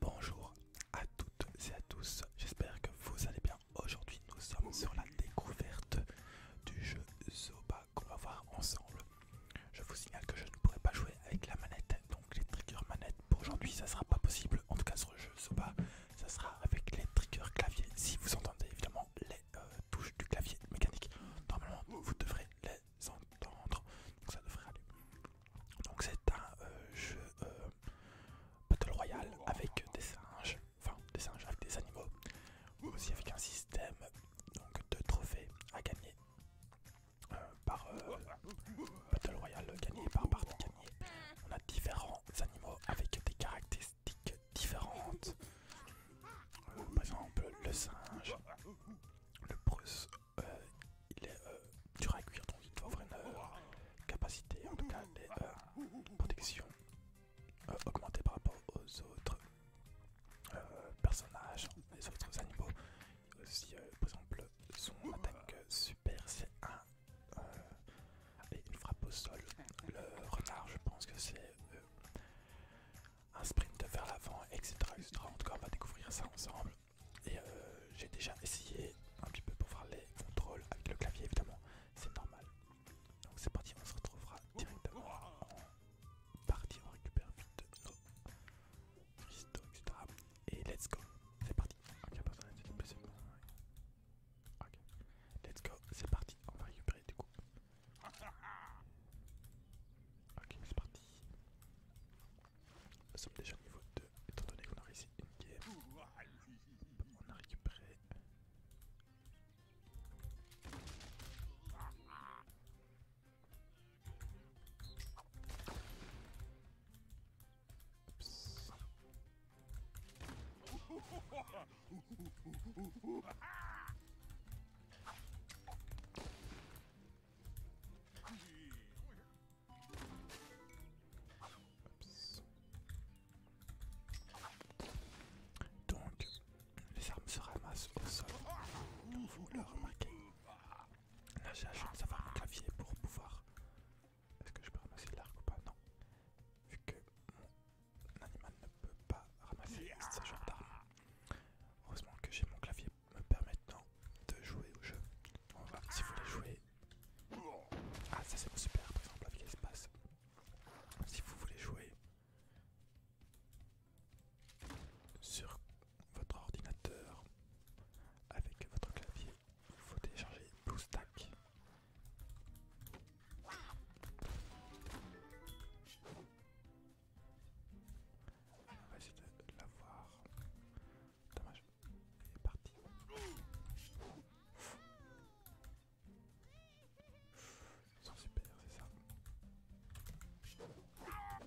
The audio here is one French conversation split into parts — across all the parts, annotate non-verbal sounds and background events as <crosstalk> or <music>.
Bonjour à toutes et à tous, j'espère que vous allez bien. Aujourd'hui nous sommes sur la découverte du jeu Zoba qu'on va voir ensemble. Je vous signale que je ne pourrai pas jouer avec la manette, donc les triggers manettes pour aujourd'hui ça sera pas possible. En tout cas sur le jeu Zoba, ça sera avec les triggers clavier si vous entendez évidemment les euh, touches du clavier mécanique. Normalement vous devrez les entendre. ça devrait aller. Donc c'est un euh, jeu euh, Battle Royale avec des singes, enfin des singes avec des animaux, aussi avec un système donc, de trophées à gagner euh, par Battle Royale gagné par partie gagnée. On a différents animaux avec des caractéristiques différentes. par exemple le singe, le Bruce euh, il est euh, dur à cuire, donc il doit avoir une euh, capacité, en tout cas les protections augmentées par rapport aux autres personnages, les autres animaux. Aussi, par exemple, son attaque super, c'est un frappe au sol. Le renard, je pense que c'est un sprint vers l'avant, etc., etc. En tout cas, on va découvrir ça ensemble. Et euh, j'ai déjà essayé un petit peu pour faire les contrôles avec le clavier évidemment, c'est normal. Donc c'est parti, on se retrouvera directement en partie, on récupère vite nos etc. Et let's go, c'est parti. Ok, c'est Ok, let's go, c'est parti, on va récupérer du coup. Ok, c'est parti. Nous sommes déjà au niveau 2, étant donné qu'on a réussi une On a récupéré. Oups. <laughs> Donc, les armes se ramassent au sol. Vous le remarquez. Là, j'ai la chance d'avoir un clavier pour pouvoir. Est-ce que je peux ramasser l'arc ou pas Non. Vu que mon animal ne peut pas ramasser ce genre d'armes. Heureusement que j'ai mon clavier me permettant de jouer au jeu. si vous voulez jouer. Ah ça c'est super par exemple avec Si vous voulez jouer sur votre ordinateur avec votre clavier, il faut télécharger BlueStack. On va essayer de l'avoir. Dommage. Il est parti. Ils sont super, c'est ça. On va essayer de l'avoir.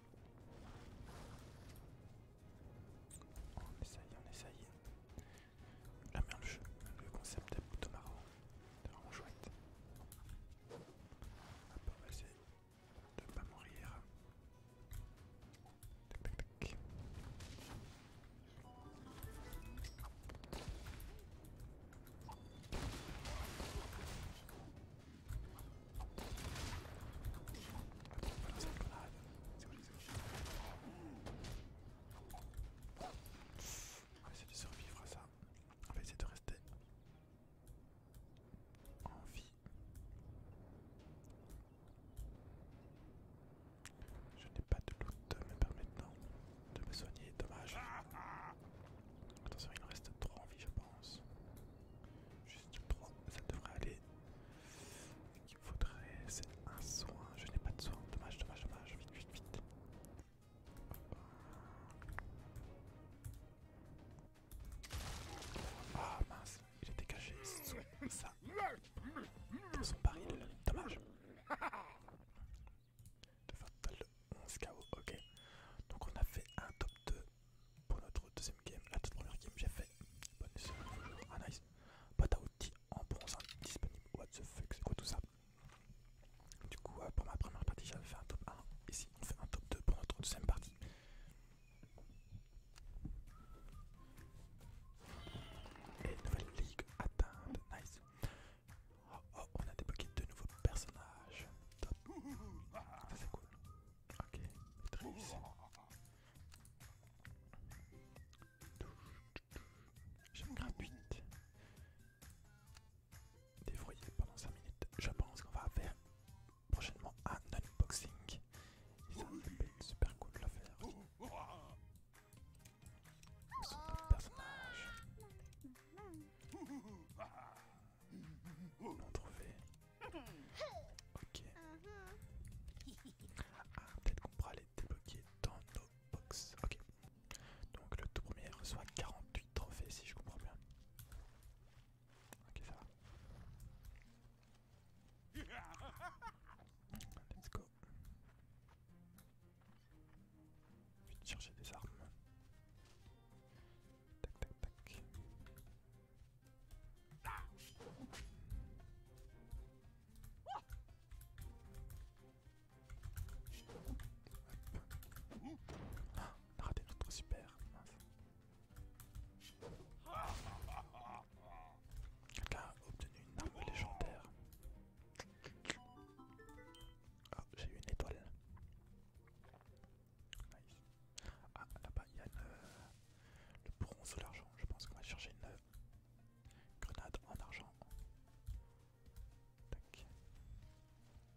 Oh, on essaye, on essaye. La merde, le jeu, le concept est plutôt marrant. C'est vraiment chouette. on va essayer de pas mourir. On va essayer de survivre à ça. On va essayer de rester en vie. Je n'ai pas de loot me permettant de me soigner, dommage. Attention, il en reste 3 en vie, je pense. Juste 3, ça devrait aller. Il faudrait, c'est un soin. Je n'ai pas de soin. Dommage, dommage, dommage. Vite, vite, vite. Ah mince, il était caché. Ça. Dans son baril, dommage de 11 ok. Donc on a fait un top 2 pour notre deuxième game. La toute première game j'ai fait bonus, ah nice, boîte à en bronze disponible, what the fuck, c'est quoi tout ça Du coup euh, pour ma première partie j'avais fait un top 1, ici on fait un top 2 pour notre deuxième partie. Et nouvelle ligue atteinte, nice. Oh, on a débloqué deux nouveaux personnages. Top. Ça c'est cool. Ok, Je J'aime gratuite. Défroyé pendant 5 minutes. Je pense qu'on va faire prochainement un unboxing. Et ça être super cool de le faire. On trophée. Ok. Ah, peut-être qu'on pourra les débloquer dans nos box. Ok. Donc le tout premier reçoit 48 trophées si je comprends bien. Ok, ça va. Let's go. Je vais chercher des armes. Tac tac tac. Ah, on raté notre super. Quelqu'un a obtenu une arme légendaire. Ah, j'ai eu une étoile. Ah, là-bas, il y a euh, le bronze ou l'argent. Je pense qu'on va chercher une euh, grenade en argent. Tac.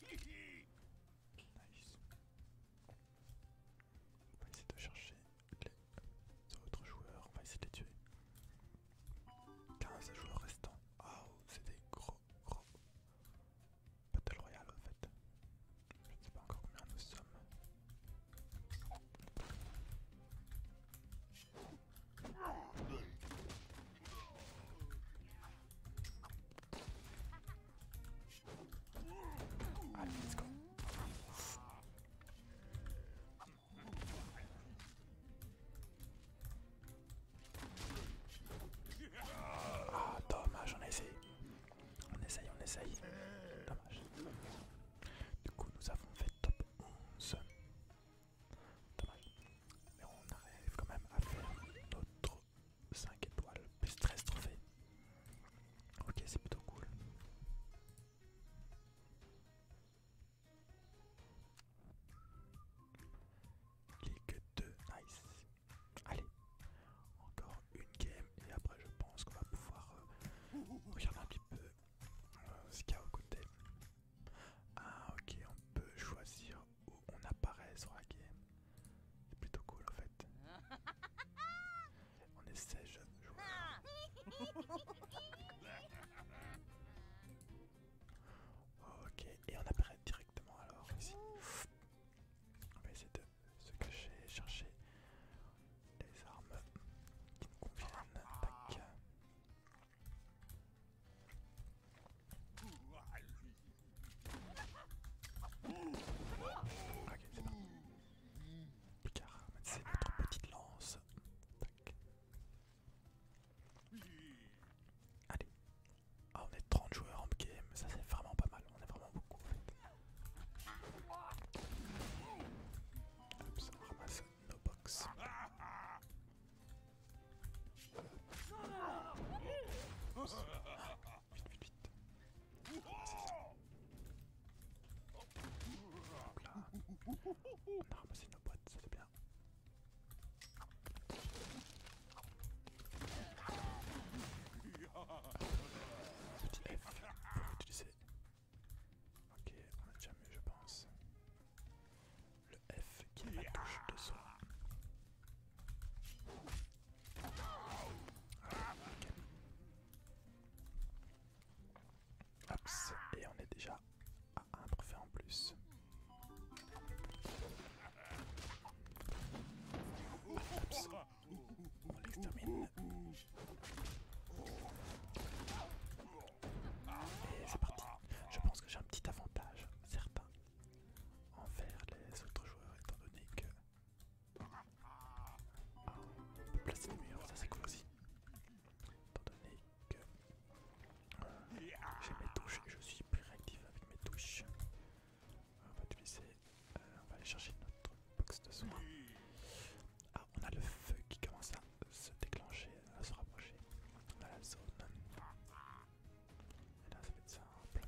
Nice. On va essayer de chercher les autres joueurs. On va essayer de les tuer. 15 joueurs restants. restant. oh, c'est des gros, gros Battle Royale en fait. Je ne sais pas encore combien nous sommes. Allez, let's go. Ah, dommage, on essayé, On essaye, on essaye. Dommage. Du coup, nous avons fait top 11. Dommage. Mais on arrive quand même à faire notre 5 étoiles, plus 13 trophées. Ok, c'est plutôt cool. Clique 2, nice. Allez, encore une game et après je pense qu'on va pouvoir euh, regarder un petit peu euh, ce qu'il y a au côté. Ah ok, on peut choisir où on apparaît sur la game. C'est plutôt cool en fait. <laughs> On est 16 joueurs. Ok, et on apparaît directement alors ici. On va essayer de se cacher, chercher les armes qui nous conviennent. Tac. Ok, c'est Picard, c'est notre petite lance. Allez. Ah, on est 30 joueurs en game, ça c'est vraiment pas mal, on est vraiment beaucoup Oups, on ramasse nos box. Vite, vite, vite. Hop là. On a ramassé nos boîtes, c'est bien. Petit F, faut utiliser. Ok, on a déjà mieux je pense. Le F qui est la touche de soi. Ok et on est déjà à un trophée en plus. on l'extermine. Et c'est parti. Je pense que j'ai un petit avantage, certain, envers les autres joueurs, étant donné que on peut placer des murs, ça c'est cool aussi. Étant donné que euh, j'ai mes touches et je suis plus réactif avec mes touches. On va te euh, on va aller chercher notre box de soins. Ah, on a le feu qui commence à se déclencher, à se rapprocher. de la zone. Et là, ça va être simple.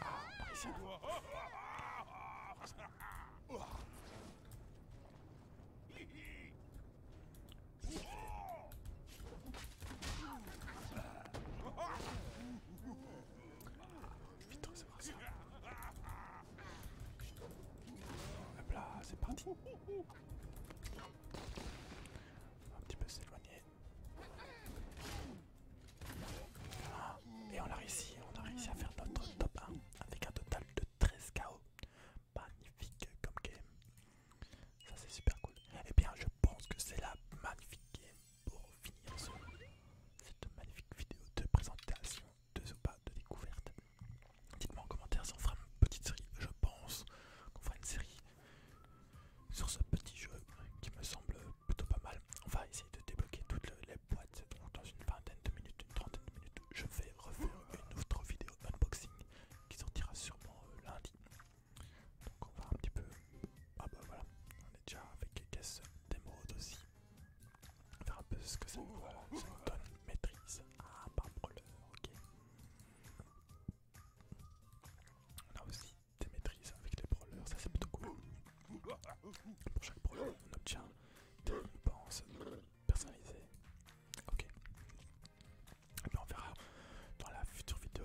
Ah, Vite, c'est parti. là, c'est un petit peu s'éloigner ah, et on a réussi, on a réussi à faire notre top 1 avec un total de 13 KO. Magnifique comme game. Ça c'est super cool. Et eh bien je pense que c'est la magnifique game pour finir cette magnifique vidéo de présentation de pas de découverte. Dites-moi en commentaire si on fera une petite série. Je pense qu'on fera une série sur ce petit jeu qui me semble plutôt pas mal. On va essayer de débloquer toutes les boîtes. dans une vingtaine de minutes, une trentaine de minutes, je vais refaire une autre vidéo unboxing qui sortira sûrement euh, lundi. Donc on va un petit peu... Ah bah voilà, on est déjà avec les caisses d'émeraude aussi. On va faire un peu ce que ça nous, euh, donne maîtrise. Ah, part ok. On aussi des maîtrises avec les brawlers, ça c'est plutôt cool. Pour chaque brawler, on obtient des récompenses personnalisées. Ok. Et on verra dans la future vidéo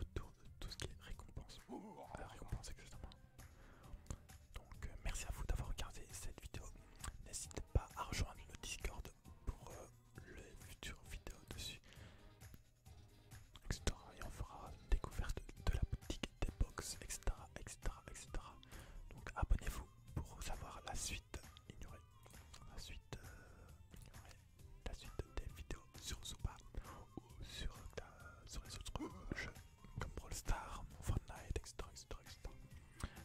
autour de tout ce qui est récompense. Ah, Donc euh, merci à vous d'avoir regardé cette vidéo. N'hésitez pas à rejoindre le Discord pour euh, les futures vidéos dessus. Et on fera découverte de la boutique des box, etc. etc. etc. Donc abonnez-vous pour savoir la suite La suite euh, La suite des vidéos sur Zouba ou sur, les autres jeux comme Brawl Stars, Fortnite, etc., etc., etc.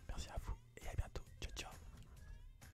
Merci à vous et à bientôt. Ciao ciao